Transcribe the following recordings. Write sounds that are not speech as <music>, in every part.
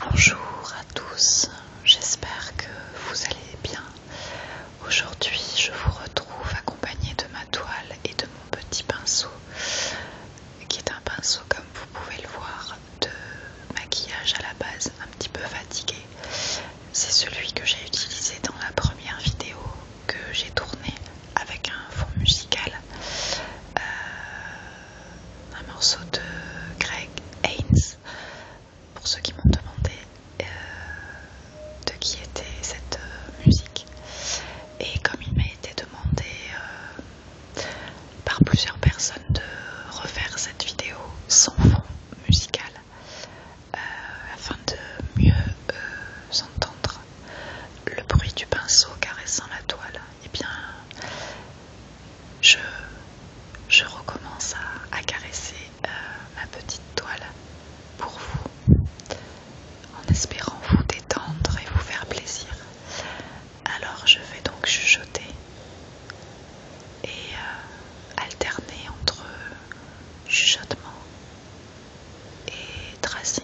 Bonjour à tous, j'espère que vous allez bien. Aujourd'hui je vous retrouve accompagnée de ma toile et de mon petit pinceau, qui est un pinceau comme vous pouvez le voir de maquillage à la base, un petit peu fatigué. C'est celui que j'ai utilisé dans la première vidéo que j'ai tournée avec un fond musical, euh, un morceau de Greg Haynes, pour ceux qui m'ont demandé euh, de qui était cette euh, musique. Et comme il m'a été demandé par plusieurs personnes de refaire cette vidéo sans fond musical, afin de mieux s'entendre le bruit du pinceau caressant la toile, eh bien, je, recommence à, caresser euh, ma petite toile pour vous, en espérant vous détendre et vous faire plaisir. Alors, je vais donc chuchoter et euh, alterner entre chuchotements et tracé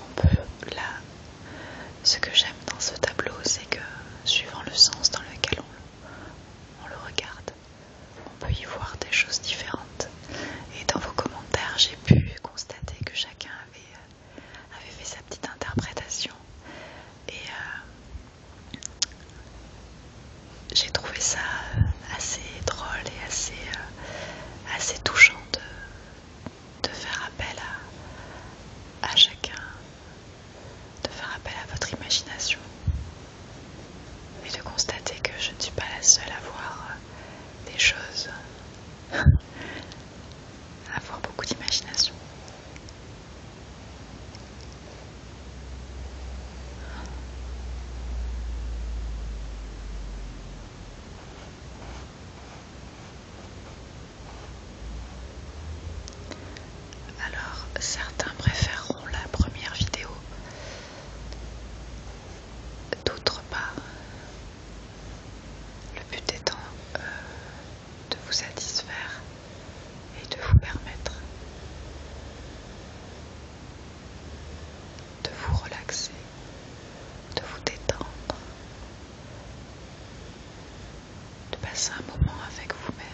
On peut là, ce que j'aime dans ce tableau, c'est que suivant le sens dans lequel on le regarde, on peut y voir des choses différentes. Et dans vos commentaires, j'ai pu constater que chacun avait, euh, fait sa petite interprétation. Et euh, j'ai trouvé ça euh, assez drôle et assez, touchant de, faire appel à chacun, de faire appel à votre imagination mais de constater que je ne suis pas la seule à voir euh, des choses, <laughs> à avoir beaucoup d'imagination. Alors, certains préféreront la première vidéo D'autre part, le but étant euh, de vous satisfaire et de vous permettre de vous relaxer, de vous détendre, de passer un moment avec vous-même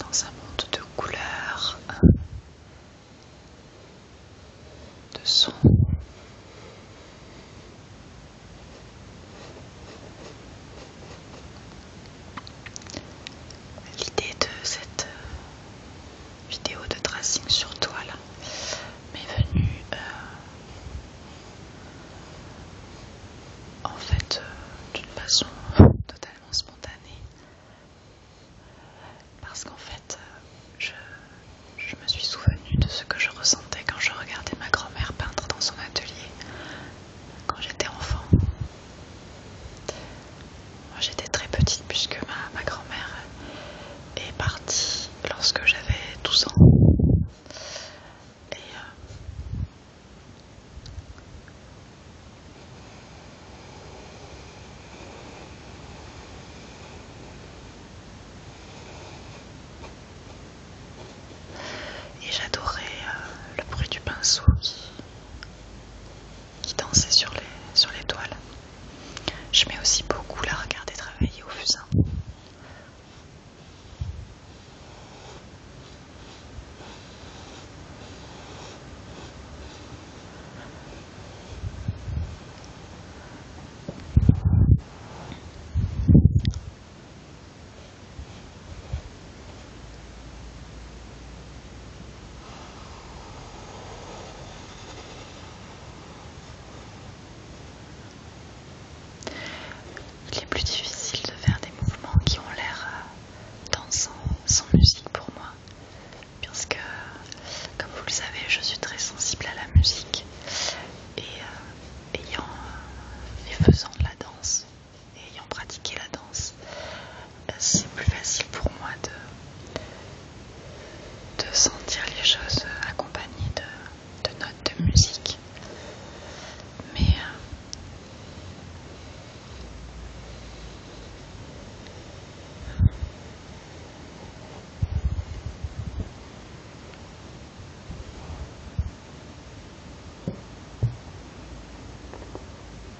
dans un monde de couleurs, de sons l'idée de cette euh, vidéo de tracing sur toile m'est venue euh, en fait euh, d'une façon totalement spontanée parce qu'en fait je, je me suis souvenue de ce que je ressentais quand je regardais ma grand-mère peindre dans son atelier quand j'étais enfant j'étais très petite puisque ma, grand-mère est partie lorsque j'avais 12 ans. Et, euh, j'adorais euh, le bruit du pinceau qui dansait sur les, sur les toiles. mets aussi beaucoup la regarder travailler au fusain. Il est plus difficile de faire des mouvements qui ont l'air euh, dansant sans musique pour moi, puisque, comme vous le savez, je suis très sensible à la musique et euh, ayant euh, et faisant de la danse, ayant pratiqué la danse, euh, c'est plus facile pour moi de, de sentir les choses accompagnées de, de notes de musique. Mais euh,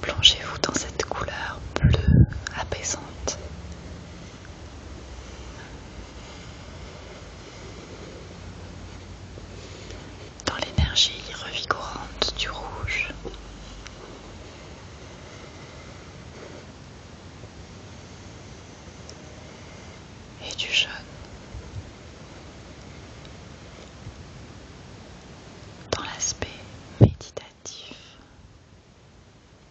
Plongez-vous dans cette couleur bleue apaisante dans l'énergie revigorante du rouge, et du jaune dans l'aspect méditatif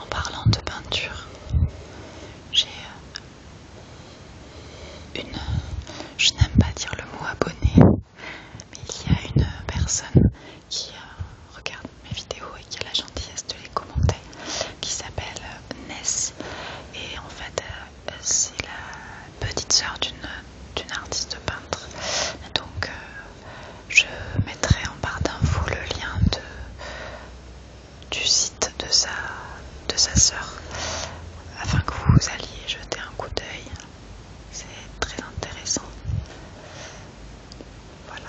en parlant de peinture, j'ai euh, une... Je n'aime pas dire le mot abonné, mais il y a une personne qui euh, regarde mes vidéos et qui a la gentillesse de les commenter, qui s'appelle euh, Ness. Et en fait, c'est la petite sœur d'une artiste peintre. Donc, je mettrai en barre d'infos le lien de du site de sa, de sa sœur afin que vous alliez jeter un coup d'œil. C'est très intéressant. Voilà.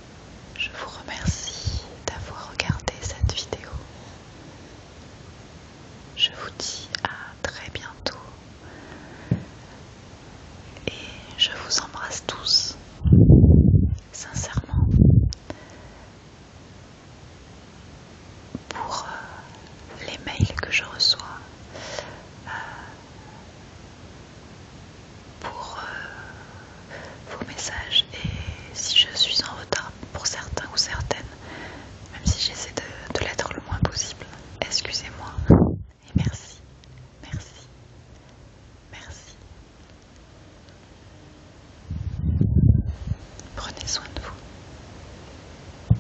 Je vous remercie d'avoir regardé cette vidéo. Je vous dis à très bientôt et je vous embrasse tous, sincèrement, pour euh, les mails que je reçois. Euh, pour euh, vos messages et si je suis en retard pour certains ou certaines, même si j'essaie de, de l'être le moins possible, excusez-moi et merci, merci, merci. Prenez soin de vous.